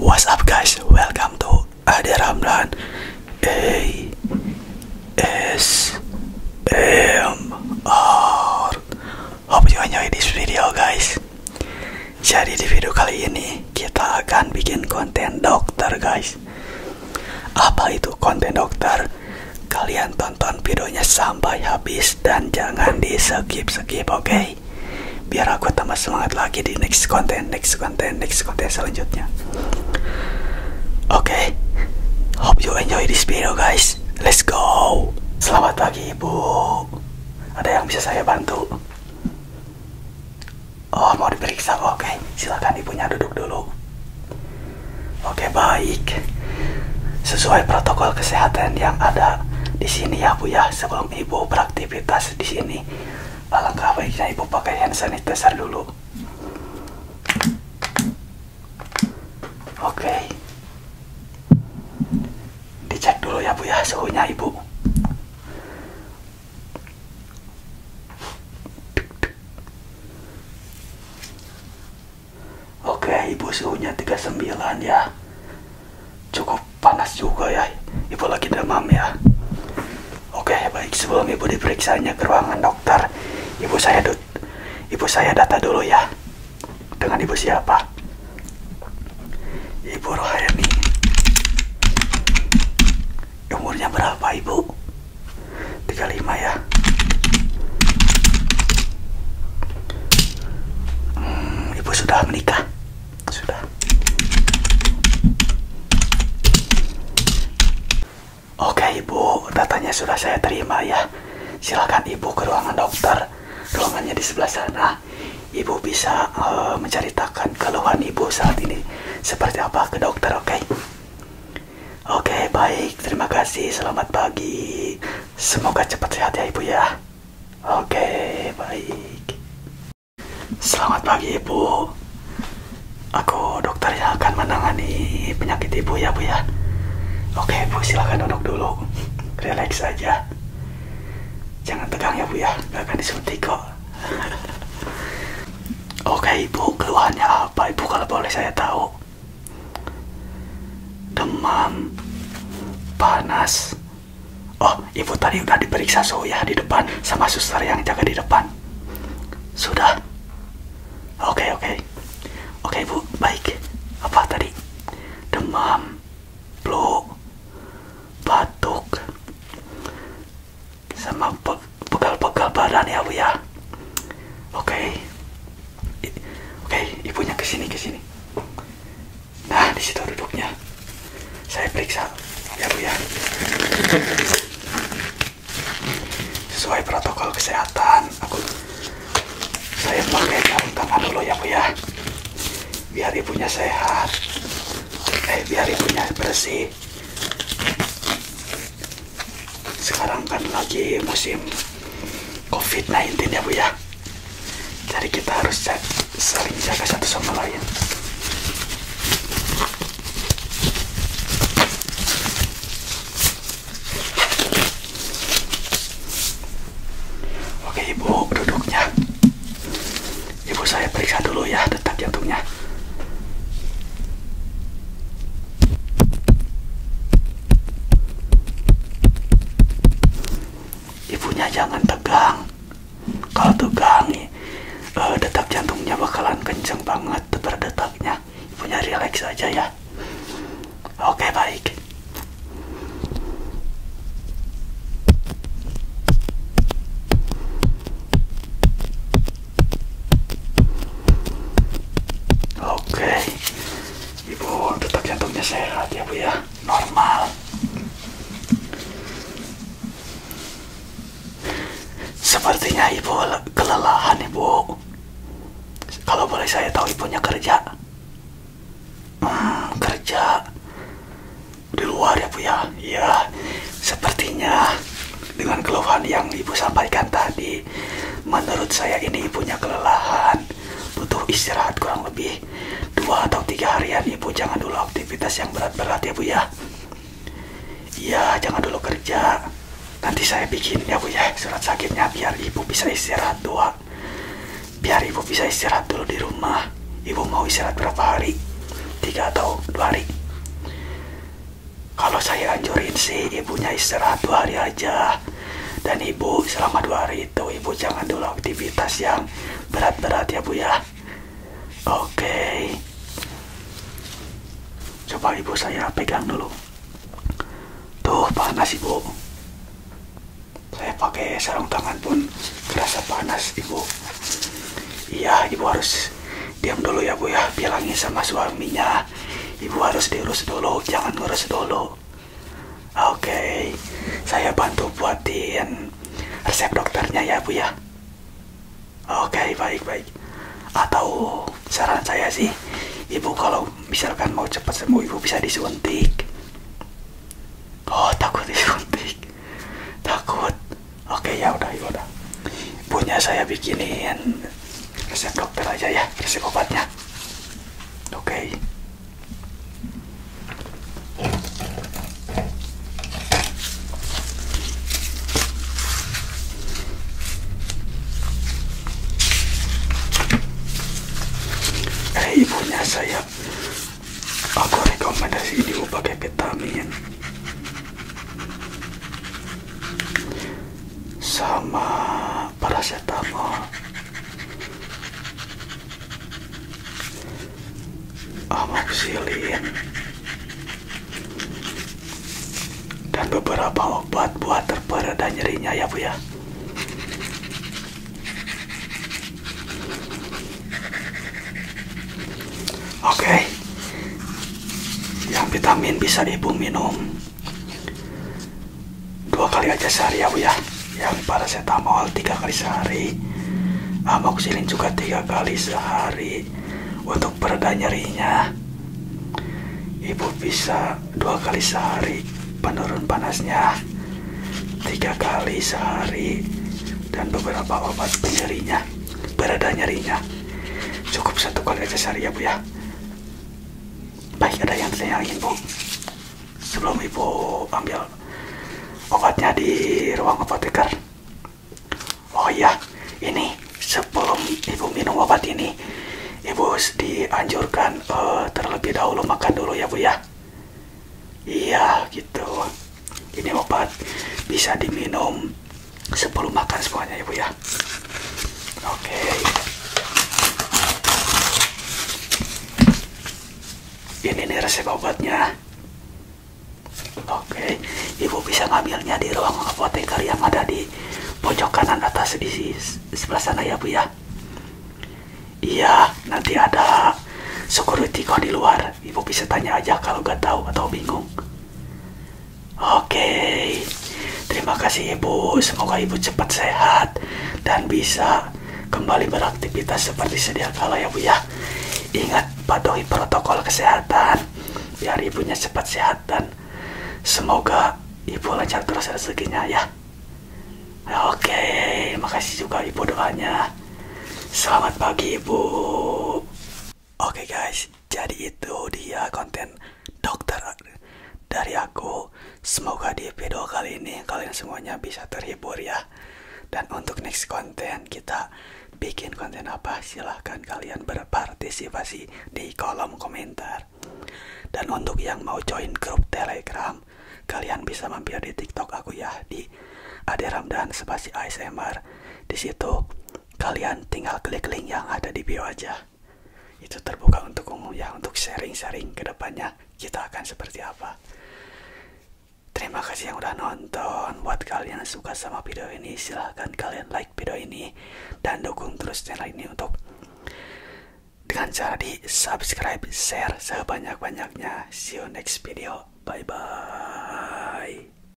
What's up guys? Welcome to Ade Ramlan A S M R. Hope you enjoy this video guys. Jadi di video kali ini kita akan bikin konten dokter guys. Apa itu konten dokter? Kalian tonton videonya sampai habis dan jangan di skip skip, oke? Okay? biar aku tambah semangat lagi di next konten next konten next konten selanjutnya oke okay. hope you enjoy this video guys let's go selamat pagi ibu ada yang bisa saya bantu oh mau diperiksa oke okay. silakan ibunya duduk dulu oke okay, baik sesuai protokol kesehatan yang ada di sini ya Bu ya sebelum Ibu beraktivitas di sini alangkah baiknya ibu pakai hand sanitizer dulu oke dicek dulu ya bu ya suhunya ibu oke ibu suhunya 39 ya cukup panas juga ya ibu lagi demam ya oke baik sebelum ibu diperiksanya ke ruangan dokter ibu saya dut ibu saya data dulu ya dengan ibu siapa ibu Rohani umurnya berapa ibu 35 ya hmm, ibu sudah menikah sudah. Oke ibu, datanya sudah saya terima ya. Silakan ibu ke ruangan dokter. Ruangannya di sebelah sana. Ibu bisa uh, menceritakan keluhan ibu saat ini seperti apa ke dokter, oke? Okay? Oke, okay, baik. Terima kasih. Selamat pagi. Semoga cepat sehat ya, Ibu ya. Oke, baik. Selamat pagi, Ibu. Aku dokter yang akan menangani penyakit Ibu ya, Bu ya. Oke, ibu silahkan duduk dulu. Relax aja. Jangan tegang ya, Bu ya. Gak akan disuntik kok. Oke, Ibu, keluhannya apa, Ibu, kalau boleh saya tahu? Demam, panas, Oh, ibu tadi udah diperiksa suhu ya di depan sama suster yang jaga di depan. Sudah. Oke, okay, oke. Okay. Oke, okay, Baik. Apa tadi? Demam, flu, batuk, sama pegal-pegal badan ya, Bu ya. Oke. Oke, ibunya ke sini ke sini. Nah, di situ duduknya. Saya periksa ya Bu ya. Sesuai protokol kesehatan, aku saya pakai sarung tangan dulu ya Bu ya. Biar ibunya sehat. Eh, biar ibunya bersih. Sekarang kan lagi musim COVID-19 ya Bu ya jadi kita harus jaga, saling jaga satu sama lain oke ibu duduknya ibu saya periksa dulu ya tetap jantungnya ibunya jangan tegang kalau tegang uh, detak jantungnya bakalan kenceng banget berdetaknya ibunya relax aja ya oke baik Oke, ibu tetap jantungnya sehat ya bu ya normal sepertinya ibu kelelahan ibu kalau boleh saya tahu ibunya kerja hmm, kerja di luar ya bu ya iya sepertinya dengan keluhan yang ibu sampaikan tadi menurut saya ini ibunya kelelahan butuh istirahat kurang lebih dua atau tiga harian ibu jangan dulu aktivitas yang berat-berat ya bu ya iya jangan dulu kerja nanti saya bikin ya bu ya surat sakitnya biar ibu bisa istirahat dua biar ibu bisa istirahat dulu di rumah ibu mau istirahat berapa hari tiga atau dua hari kalau saya anjurin sih ibunya istirahat dua hari aja dan ibu selama dua hari itu ibu jangan dulu aktivitas yang berat-berat ya bu ya. Oke. Okay. Coba ibu saya pegang dulu. Tuh panas ibu. Saya pakai sarung tangan pun terasa panas ibu. Iya ibu harus diam dulu ya bu ya bilangin sama suaminya ibu harus diurus dulu jangan ngurus dulu oke okay. saya bantu buatin resep dokternya ya bu ya oke okay, baik baik atau saran saya sih ibu kalau misalkan mau cepat sembuh ibu bisa disuntik oh takut disuntik takut oke okay, ya udah ya udah punya saya bikinin resep dokter aja ya resep obatnya oke eh, ibunya saya aku rekomendasi sama paracetamol amoxilin dan beberapa obat buat terpereda nyerinya ya Bu ya Oke okay. yang vitamin bisa Ibu minum dua kali aja sehari ya bu ya yang paracetamol tiga kali sehari amoxilin juga tiga kali sehari untuk pereda nyerinya ibu bisa dua kali sehari penurun panasnya tiga kali sehari dan beberapa obat penyerinya pereda nyerinya cukup satu kali aja sehari ya bu ya baik ada yang ditanyain bu sebelum ibu ambil obatnya di ruang apoteker oh iya ini sebelum ibu minum obat ini ibu dianjurkan uh, terlebih dahulu makan dulu ya bu ya iya gitu ini obat bisa diminum sebelum makan semuanya ibu ya oke ini nih resep obatnya oke ibu bisa ngambilnya di ruang apoteker yang ada di pojok kanan atas di sebelah sana ya bu ya iya nanti ada security kok di luar ibu bisa tanya aja kalau gak tahu atau bingung Oke, terima kasih Ibu. Semoga Ibu cepat sehat dan bisa kembali beraktivitas seperti sedia kala ya Bu ya. Ingat patuhi protokol kesehatan biar ibunya cepat sehat dan semoga ibu lancar terus rezekinya ya. Oke, makasih juga ibu doanya. Selamat pagi ibu. Oke guys, jadi itu dia konten dokter dari aku. Semoga di video kali ini kalian semuanya bisa terhibur ya. Dan untuk next konten kita bikin konten apa silahkan kalian berpartisipasi di kolom komentar. Dan untuk yang mau join grup telegram kalian bisa mampir di tiktok aku ya di Ade Ramdan spasi ASMR. Di situ kalian tinggal klik link yang ada di bio aja. Itu terbuka untuk umum ya, untuk sharing-sharing kedepannya kita akan seperti apa. Terima kasih yang udah nonton. Buat kalian yang suka sama video ini, silahkan kalian like video ini dan dukung terus channel ini untuk dengan cara di subscribe, share sebanyak-banyaknya. See you next video. Bye bye.